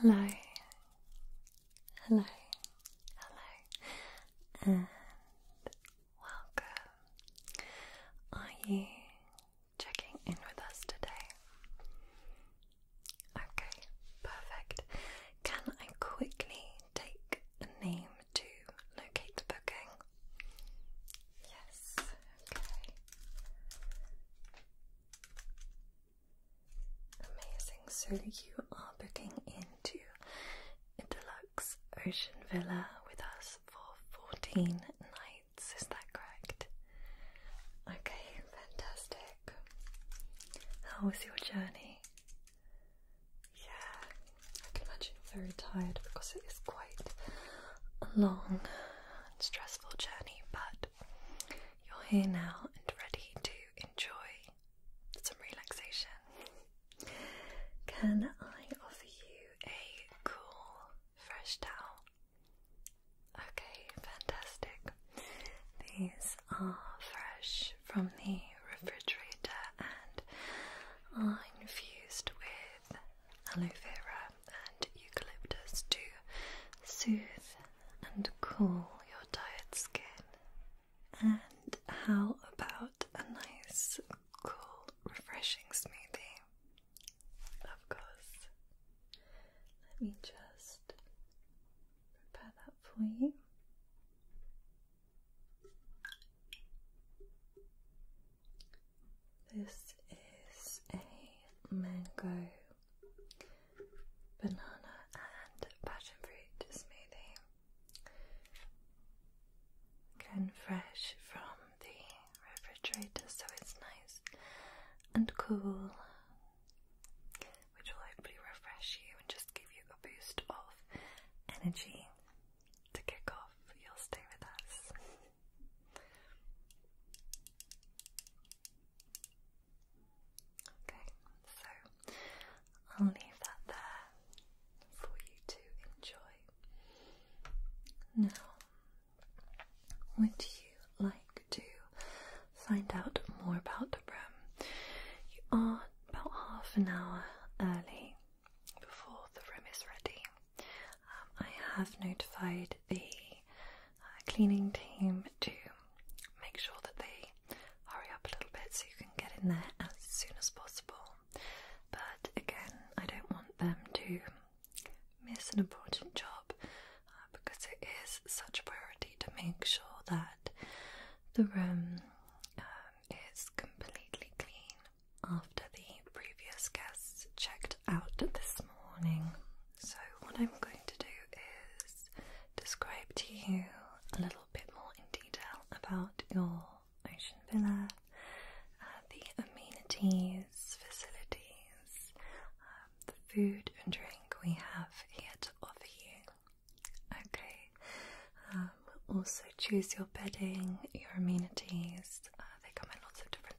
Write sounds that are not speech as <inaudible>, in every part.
Hello, hello, hello, and welcome. Are you checking in with us today? Okay, perfect. Can I quickly take a name to locate the booking? Yes, okay. Amazing. So you are booking into a deluxe ocean villa with us for 14 nights, is that correct? Okay, fantastic. How was your journey? Yeah, I can imagine you're very tired because it is quite a long stressful journey, but you're here now and ready to enjoy some relaxation. Can I offer you a cool, fresh towel? Okay, fantastic. These are fresh from the refrigerator and are infused with aloe vera and eucalyptus to soothe and cool your tired skin. And how about a nice, cool, refreshing smoothie? Of course. Let me just prepare that for you. This is a mango, banana, and passion fruit smoothie. Again, fresh from the refrigerator, so it's nice and cool, which will hopefully refresh you and just give you a boost of energy to kick off your stay with us. Okay, so I'll leave that there for you to enjoy. Now, would you like to find out more about REM? You are about half an hour early before the room is ready. Um, I have notified the uh, cleaning team to make sure that they hurry up a little bit so you can get in there as soon as possible. But again, I don't want them to miss an important job uh, because it is such a priority to make sure that the room um, is completely clean after the previous guests checked out this morning. So, what I'm going to do is describe to you a little bit more in detail about your ocean villa, uh, the amenities, facilities, um, the food and drink we have here to offer you. Okay, we'll um, also choose your bedding, your amenities. Uh, they come in lots of different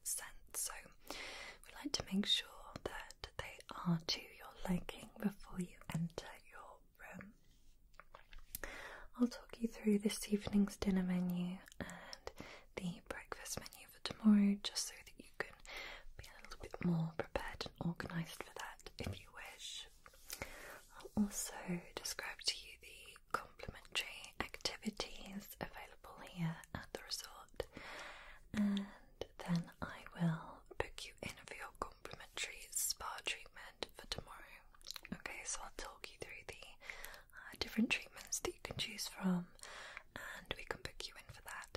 so we like to make sure that they are to your liking before you enter your room. I'll talk you through this evening's dinner menu and the breakfast menu for tomorrow just so that you can be a little bit more prepared and organised for that if you wish. I'll also describe to you the complimentary activities available here at the resort, and then I will book you in for your complimentary spa treatment for tomorrow. Okay, so I'll talk you through the uh, different treatments that you can choose from, and we can book you in for that.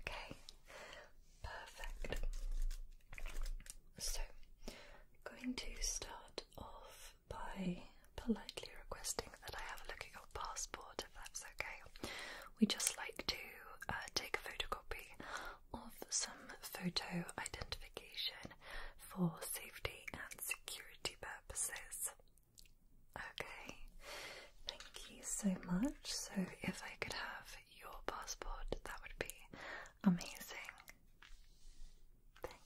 Okay, perfect. So, I'm going to start off by politely requesting that I have a look at your passport if that's okay. We just like to uh, take a photocopy of some photo identification for safety and security purposes. Okay, thank you so much. So, if I could have your passport, that would be amazing.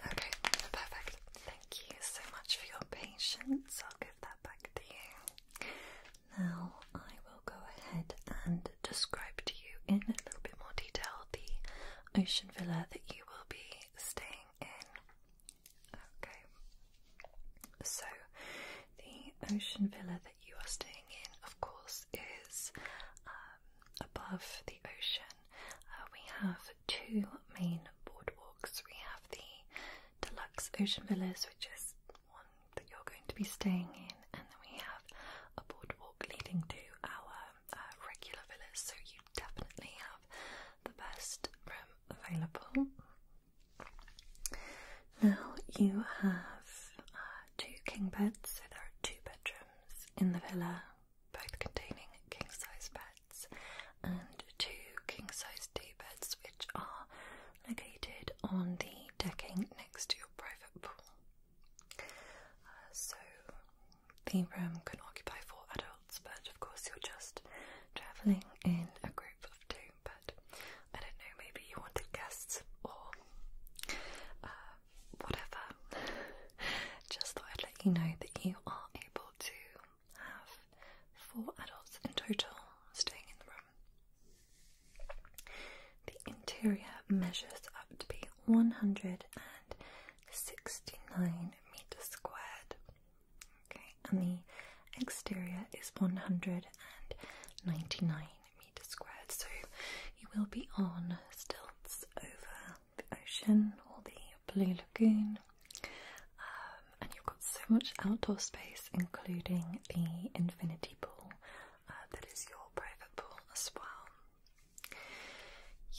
Okay, perfect. Thank you so much for your patience. I'll give that back to you. Now, I will go ahead and describe to you in a little bit more detail the ocean villa that you will be staying in. Okay, so the ocean villa that you are staying in, of course, is um, above the ocean. Uh, we have two main boardwalks. We have the deluxe ocean villas, which is one that you're going to be staying in, and then we have a boardwalk leading to our uh, regular villas. So you definitely have the best room available. Now you have uh, two king beds, so there are two bedrooms in the villa, both containing king size beds, and two king size day beds, which are located on the decking next to your private pool. Uh, so the room can occupy four adults, but of course, you're just travelling in a group of two but I don't know, maybe you wanted guests or uh, whatever. <laughs> Just thought I'd let you know that you are able to have four adults in total staying in the room. The interior measures up to be 169 meters squared. Okay, and the exterior is 199 meters so you will be on stilts over the ocean or the blue lagoon. Um, and you've got so much outdoor space, including the infinity pool uh, that is your private pool as well.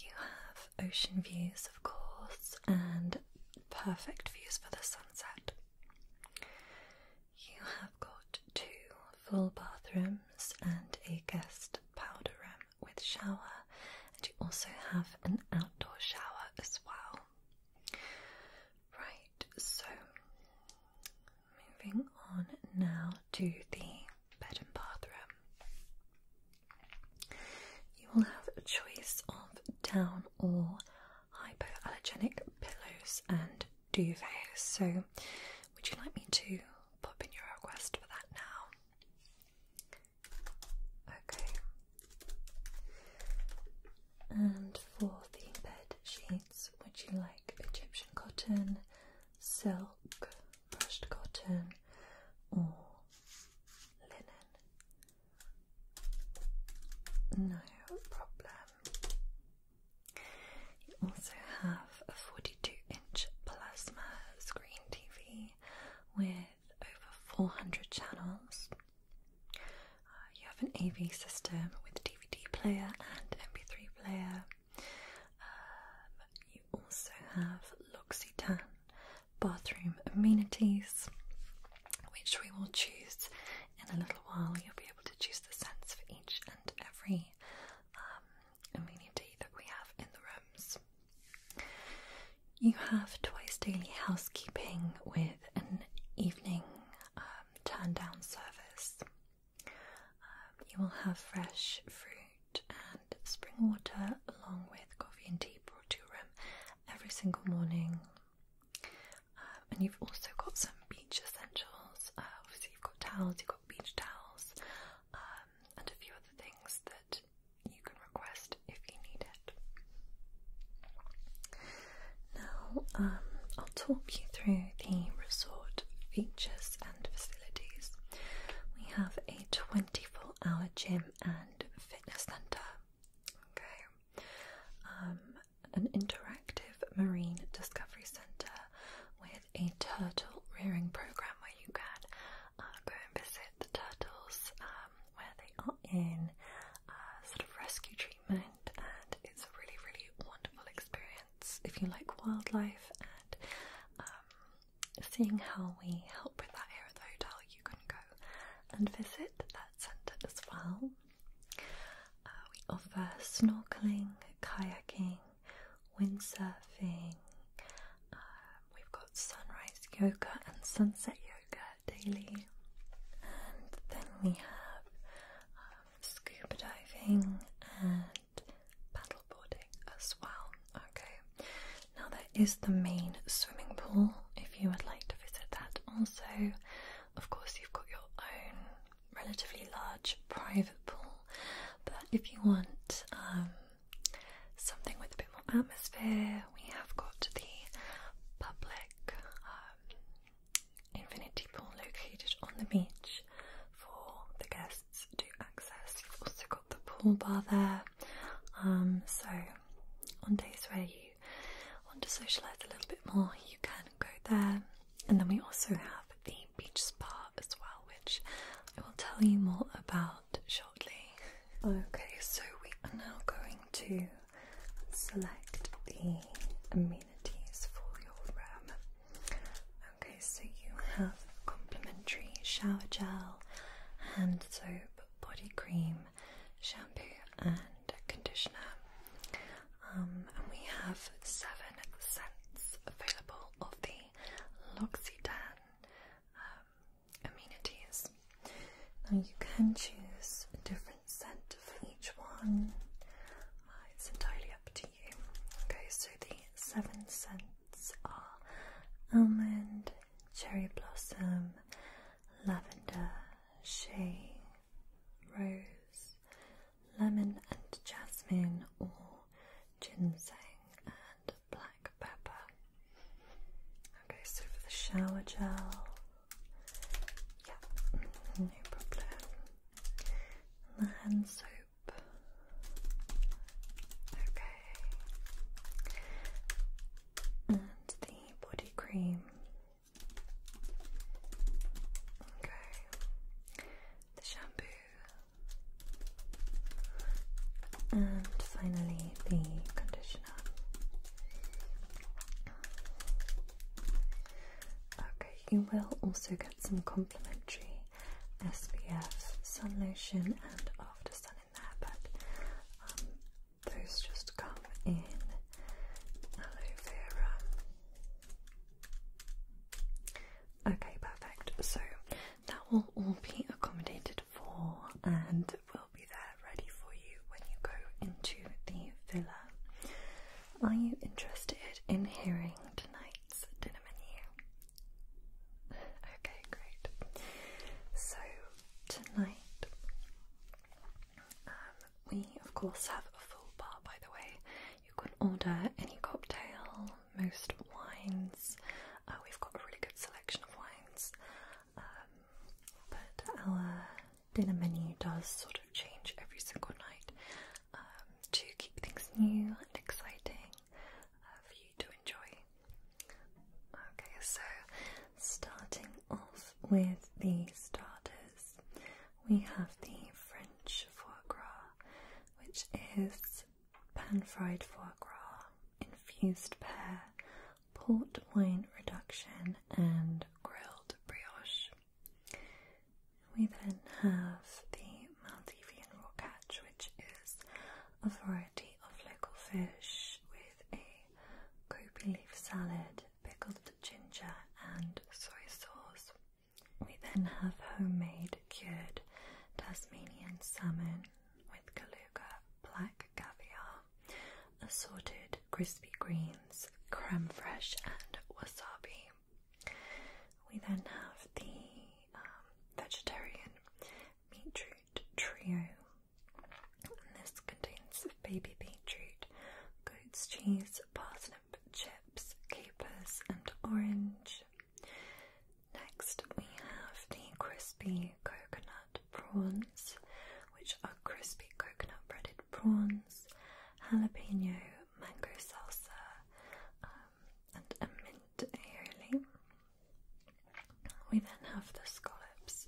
You have ocean views, of course, and perfect views for the sunset. You have got two full bathrooms and a guest powder room with shower, and you also have an outdoor shower as well. Right, so moving on now to the bed and bathroom. You will have a choice of down or hypoallergenic pillows and duvets. So, would you like me to pop in your request for that now? Okay. And for the bed sheets, would you like Egyptian cotton, silk, brushed cotton, or linen? No problem. You also have a 42 inch plasma screen TV with over 400 channels. Uh, you have an AV system with DVD player and MP3 player. Um, you also have Luxy Tan bathroom amenities, which we will choose in a little while you'll be able to choose the scents for each and every um, amenity that we have in the rooms. You have twice daily housekeeping with an evening um, turn down service. Um, you will have fresh fruit and spring water along with coffee and tea brought to your room every single morning. Um, and you've also got some beach essentials. Uh, obviously, you've got towels, you've got beach towels, um, and a few other things that you can request if you need it. Now, um, I'll talk you through the resort features and facilities. We have a 24 hour gym and fitness centre. Okay, an interactive marine discovery center with a turtle rearing program where you can uh, go and visit the turtles um, where they are in uh, sort of rescue treatment, and it's a really, really wonderful experience if you like wildlife and um, seeing how we help with that here at the hotel. You can go and visit that center as well. Uh, we offer snorkeling, kayaking, windsurfing. Um, we've got sunrise yoga and sunset yoga daily. And then we have um, scuba diving and paddleboarding as well. Okay, now there is the main swimming pool if you would like to visit that also. Of course, you've got your own relatively large private pool. But if you want um, something with a bit more atmosphere, we have got the public um, infinity pool located on the beach for the guests to access. You've also got the pool bar there. Um, so on days where you want to socialise a little bit more, you can go there. And then we also have the beach spa as well, which I will tell you more about shortly. Okay, so we are now going to select the amenities for your room. Okay, so you have complimentary shower gel, hand soap, body cream, shampoo, and conditioner. Um, and we have seven scents available of the L'Occitane um, amenities. Now you can choose a different scent for each one. Uh, it's entirely up to you. Okay, so the seven scents are almond, cherry blossom, lavender, shea, rose, lemon and jasmine or ginseng and black pepper. Okay, so for the shower gel, yeah, no problem. And the hand soap. Okay. And the body cream. Okay. The shampoo. And finally the conditioner. Okay, you will also get some complimentary SPF sun lotion and after sun in there, but um, those just come in aloe vera Okay, perfect. So that will all be accommodated for and will be there ready for you when you go into the villa. Are you interested in hearing tonight's dinner menu? Okay, great. So tonight, um, we of course have a full bar by the way. You can order any cocktail, most wines. Uh, we've got a really good selection of wines, um, but our dinner menu does sort of change every single night um, to keep things new and exciting uh, for you to enjoy. Okay, so starting off with the starters. We have the French foie gras, which is pan-fried foie gras, infused pear, port wine reduction, and grilled brioche. We then have the Maldivian raw catch, which is a variety of local fish with a kopi leaf salad, pickled ginger, and soy sauce. We then have homemade cured Tasmanian salmon with Kaluga, black caviar, assorted crispy greens, creme fraiche and wasabi. We then have the um, vegetarian beetroot trio. this contains baby beetroot, goat's cheese, parsnip, chip, capers, and orange. Next, we have the crispy coconut prawns, which are crispy coconut breaded prawns, jalapeno, mango salsa, um, and mint aioli. We then have the scallops,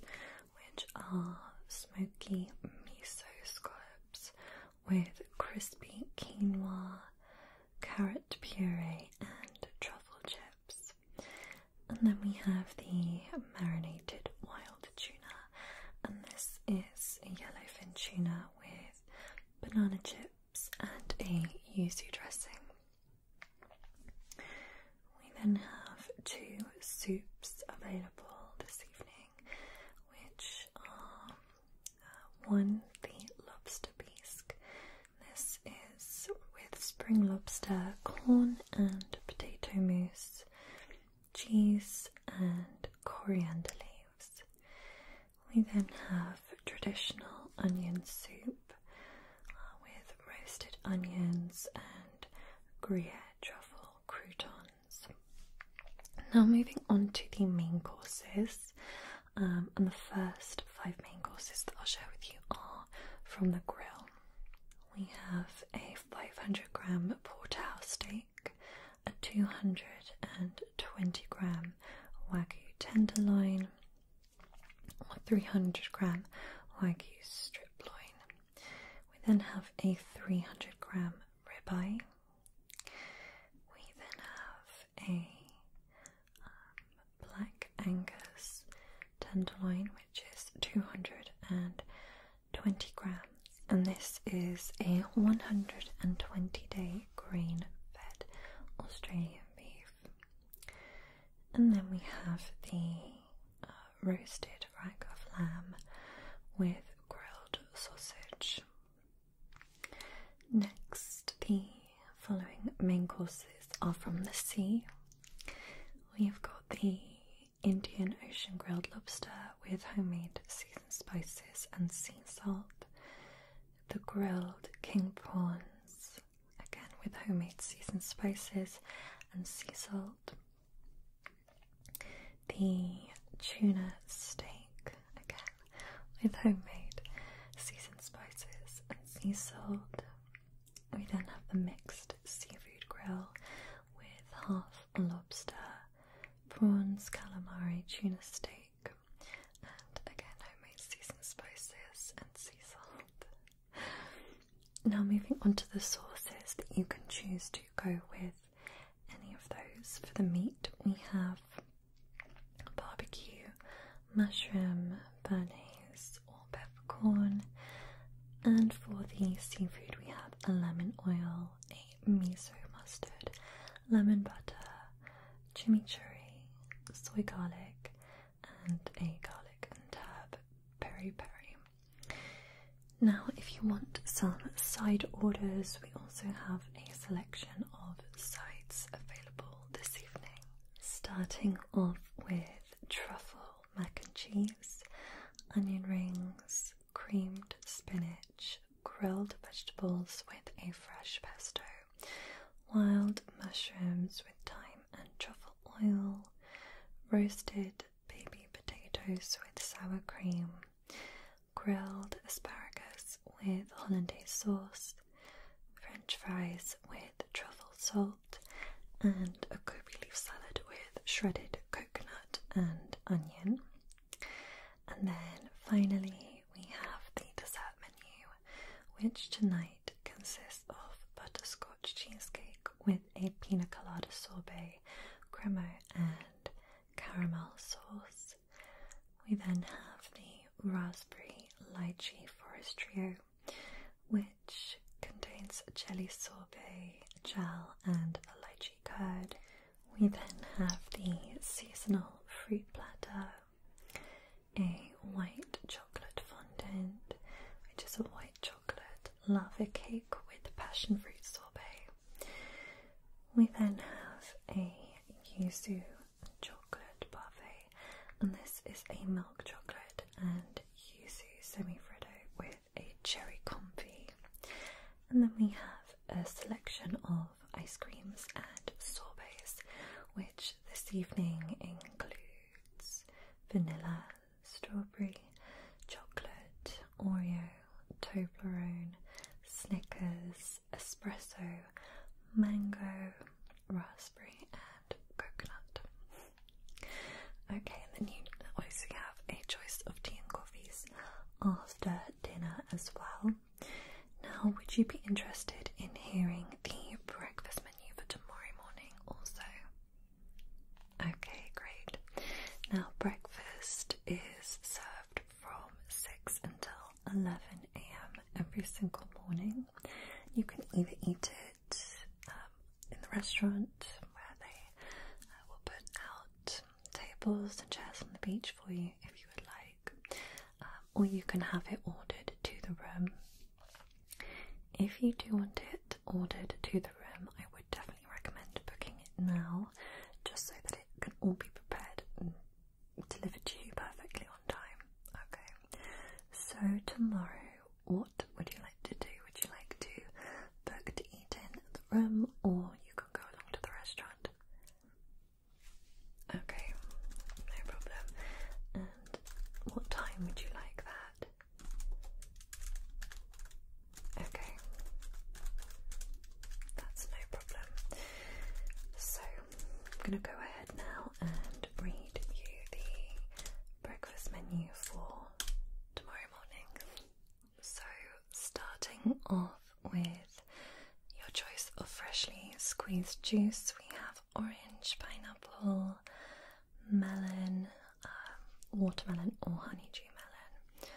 which are smoky miso scallops with crispy quinoa, carrot puree, and truffle chips. And then we have the marinated wild tuna, and this is yellowfin tuna with banana chips and a yuzu dressing. We then have two soups available this evening, which um, uh, one, the lobster bisque. This is with spring lobster, corn and potato mousse, cheese, and coriander leaves. We then have traditional onion soup uh, with roasted onions and Gruyere truffle crouton now, moving on to the main courses, um, and the first five main courses that I'll share with you are from the grill. We have a 500 gram porterhouse steak, a 220 gram wagyu tenderloin, a 300 gram wagyu strip loin. We then have a 300 gram ribeye, we then have a um, black Angus tenderloin, which is 220 grams, and this is a 120 day grain fed Australian beef. And then we have the uh, roasted rack of lamb with grilled sausage. Next, the following main courses are from the sea. We've got the Indian Ocean grilled lobster with homemade seasoned spices and sea salt, the grilled king prawns, again with homemade seasoned spices and sea salt, the tuna steak again with homemade seasoned spices and sea salt. We then have the mixed seafood grill with half lobster, prawns, calamari, tuna steak, and again homemade seasoned spices and sea salt. Now, moving on to the sauces that you can choose to go with any of those. For the meat, we have barbecue, mushroom, bernaise, or peppercorn. And for the seafood, we have a lemon oil, a miso mustard, lemon butter, chimichurri, soy garlic, and a garlic and herb peri peri. Now, if you want some side orders, we also have a selection of sides available this evening. Starting off with truffle mac and cheese, onion rings, creamed spinach, grilled vegetables with a fresh pesto, wild mushrooms with thyme and truffle oil, roasted baby potatoes with sour cream, grilled asparagus with hollandaise sauce, french fries with truffle salt, and a gobi salad with shredded coconut and onion. And then finally, we have the dessert menu, which tonight consists of butterscotch cheesecake with a pina colada sorbet, crema, and caramel sauce. We then have the raspberry lychee forest trio, which contains jelly sorbet, gel, and lychee curd. We then have the seasonal fruit platter, a white chocolate fondant, which is a white chocolate lava cake with passion fruit sorbet, we then have a yuzu chocolate buffet, and this is a milk chocolate and yuzu semifreddo with a cherry comfit. And then we have a selection of ice creams and sorbets, which this evening includes vanilla, strawberry, chocolate, Oreo, Toblerone, Snickers, espresso, mango, raspberry, and coconut. Okay, and then you also have a choice of tea and coffees after dinner as well. Now, would you be interested in hearing the breakfast menu for tomorrow morning also? Okay, great. Now, breakfast is served from 6 until 11 a.m. every single morning. You can either eat it um, in the restaurant where they uh, will put out tables and chairs on the beach for you if you would like, um, or you can have it ordered to the room. If you do want it ordered to the room, I would definitely recommend booking it now just so that it can all be prepared delivered to you perfectly on time. Okay. So tomorrow, what would you like to do? Would you like to book to eat in the room, or you can go along to the restaurant? Okay, no problem. And what time would you like that? Okay, that's no problem. So I'm going to go ahead now and read you the breakfast menu for tomorrow morning. So starting off with your choice of freshly squeezed juice, we have orange, pineapple, melon, um, watermelon or honeydew melon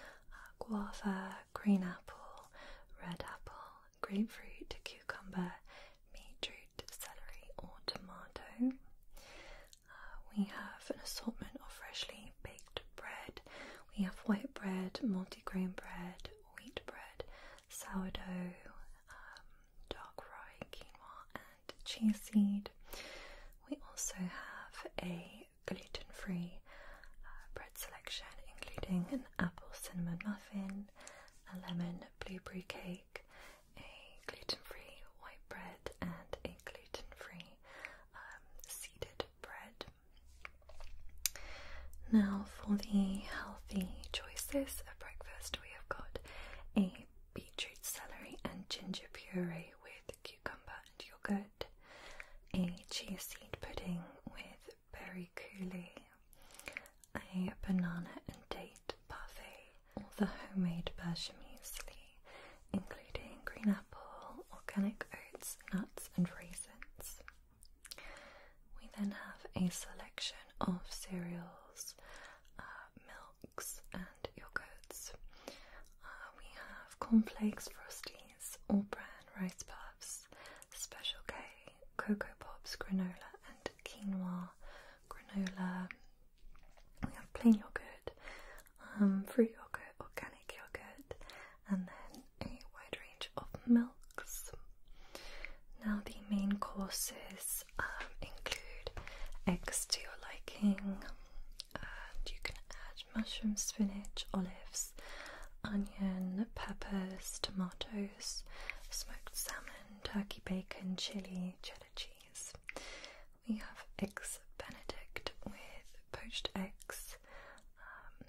guava, green apple, red apple, grapefruit, cucumber, beetroot, celery, or tomato. Uh, we have an assortment of freshly baked bread. We have white bread, multigrain bread, wheat bread, sourdough, um, dark rye, quinoa, and chia seed. We also have a gluten free uh, selection, including an apple cinnamon muffin, a lemon blueberry cake, a gluten free white bread, and a gluten free um, seeded bread. Now, for the healthy choices of breakfast, we have got a beetroot celery and ginger puree with cucumber and yogurt, a chia seed pudding with berry coulis, a banana and date parfait, or the homemade Persian muesli, including green apple, organic oats, nuts and raisins. We then have a selection of cereals, uh, milks and yogurts. Uh, we have cornflakes, frosties, or bran rice puffs, Special K, Cocoa Pops, granola, and quinoa granola. We have plain yogurt, um, fruit yogurt, organic yogurt, and then a wide range of milks. Now, the main courses um, include eggs to your liking, and you can add mushroom, spinach, olives, onion, peppers, tomatoes, smoked salmon, turkey bacon, chili, cheddar cheese. We have eggs benedict with poached eggs, um,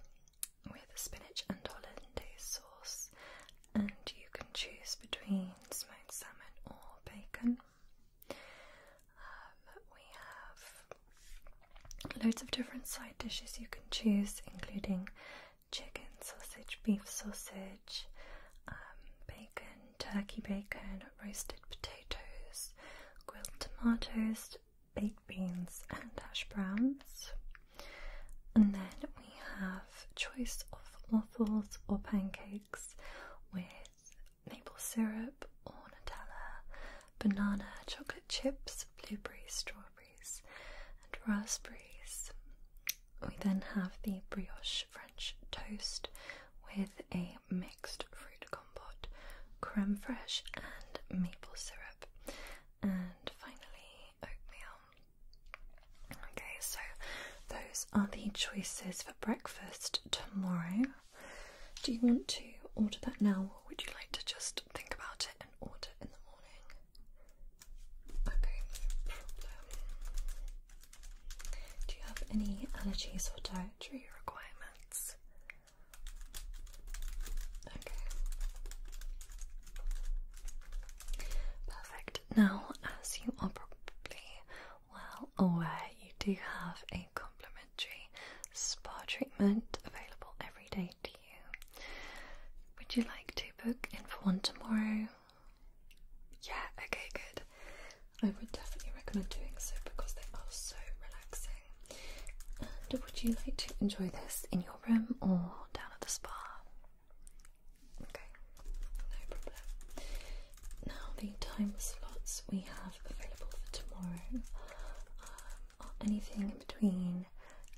with spinach and hollandaise sauce, and you can choose between smoked salmon or bacon. Um, we have Loads of different side dishes you can choose, including chicken, sausage, beef sausage, um, bacon, turkey bacon, roasted potatoes, grilled tomatoes, baked beans, and hash browns. And then we have choice of waffles or pancakes with maple syrup or Nutella, banana, chocolate chips, blueberry, strawberry and raspberries. We then have the brioche French toast with a mixed fruit compote, creme fraiche, and maple syrup. And finally, oatmeal. Okay, so those are the choices for breakfast tomorrow. Do you want to order that now, or would you like to just think about it Okay, Do you have any allergies or dietary requirements? Okay. Perfect. Now, as you are probably well aware, you do have a complimentary spa treatment available every day would you like to book in for one tomorrow? Yeah, okay, good. I would definitely recommend doing so because they are so relaxing. And would you like to enjoy this in your room or down at the spa? Okay, no problem. Now, the time slots we have available for tomorrow um, are anything in between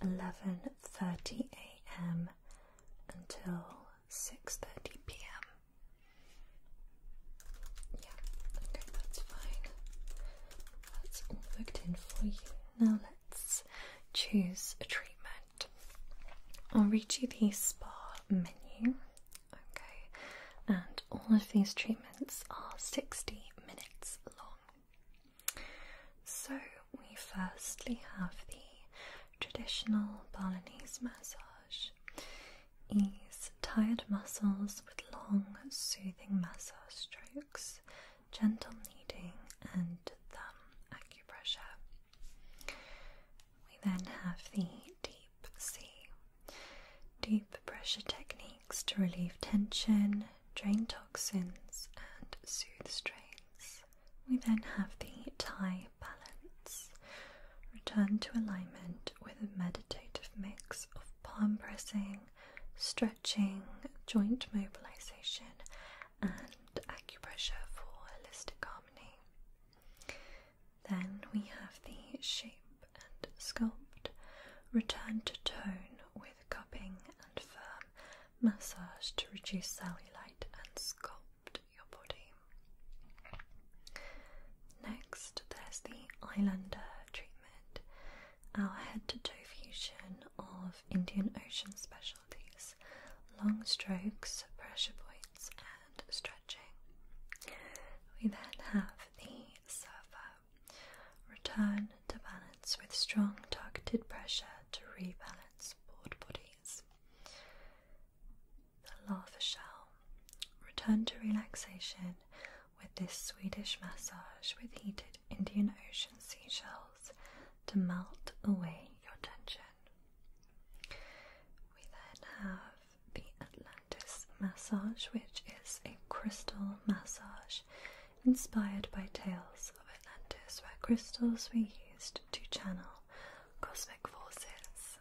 11:30 a.m. until 6:30 p.m. Yeah, okay, that's fine. That's booked in for you. Now let's choose a treatment. I'll read you the spa menu. Okay, and all of these treatments are 60 minutes long. So, we firstly have the traditional Balinese massage. Ease tired muscles with long, soothing massage strokes, gentle kneading, and thumb acupressure. We then have the deep sea, deep pressure techniques to relieve tension, drain toxins, and soothe strains. We then have the Thai balance. Return to alignment with a meditative mix of palm pressing, stretching, joint mobilization, and acupressure for holistic harmony. Then we have the shape and sculpt. Return to tone with cupping and firm massage to reduce cellulite and sculpt your body. Next, there's the Islander treatment, our head to toe fusion of Indian Ocean specialties, long strokes, pressure points, and stretching. We then have the Surfer Return to balance with strong targeted pressure to rebalance board bodies. The lava shell. Return to relaxation with this Swedish massage with heated Indian Ocean seashells to melt away your tension. We then have the Atlantis massage, which is a crystal massage inspired by tales of Atlantis where crystals were used to channel cosmic forces.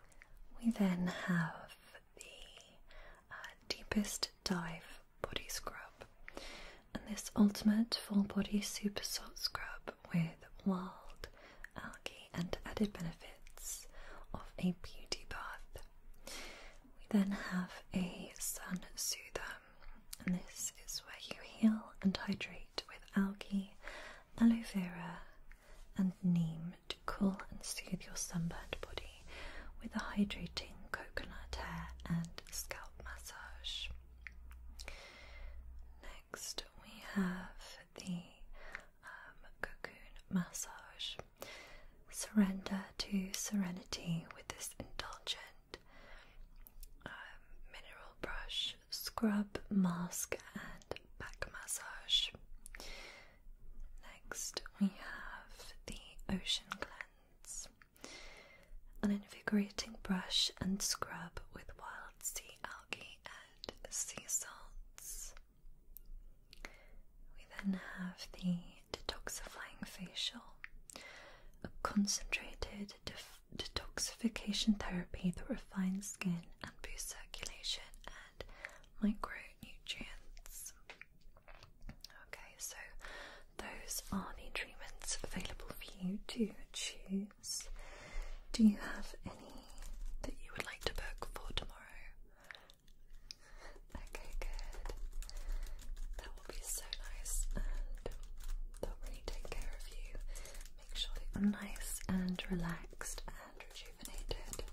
We then have the uh, Deepest Dive Body Scrub, and this ultimate full body super salt scrub with wild algae and added benefits of a beauty bath. We then have a sun soother and this is where you heal and hydrate with algae, aloe vera, and neem to cool and soothe your sunburned body with a hydrating coconut hair and scalp massage. Next, we have the um, cocoon massage. Surrender to serenity with this indulgent um, mineral brush, scrub, mask, and back massage. Next, we have the Ocean Cleanse, an invigorating brush and scrub with wild sea algae and sea salts. We then have the detoxifying facial, a concentrated detoxification therapy that refines skin and boosts circulation and micronutrients. Okay, so those are the treatments available for you to choose. Do you have any that you would like to book for tomorrow? Okay, good will be so nice and they'll really take care of you. Make sure that you nice and relaxed and rejuvenated.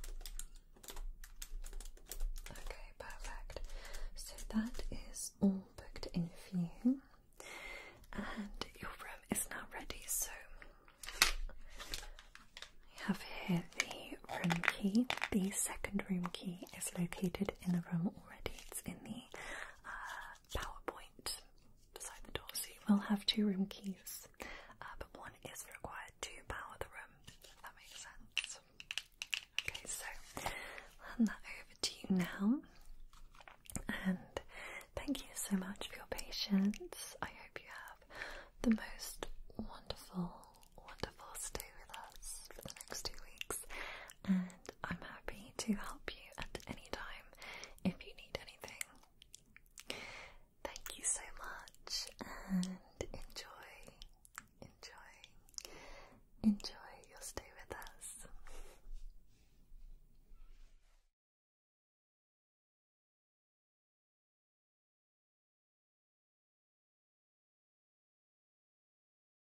Okay, perfect. So that is all booked in for you. And your room is now ready, so we have here the room key. The second room key is located in the room already. It's in the uh, PowerPoint beside the door, so you will have two room keys, uh, but one is required to power the room, that makes sense. Okay, so hand that over to you now, and thank you so much for your patience. I hope you have the most wonderful, wonderful stay with us for the next two weeks, and I'm happy to help you at any time if you need anything. Thank you so much and enjoy, enjoy, enjoy your stay with us.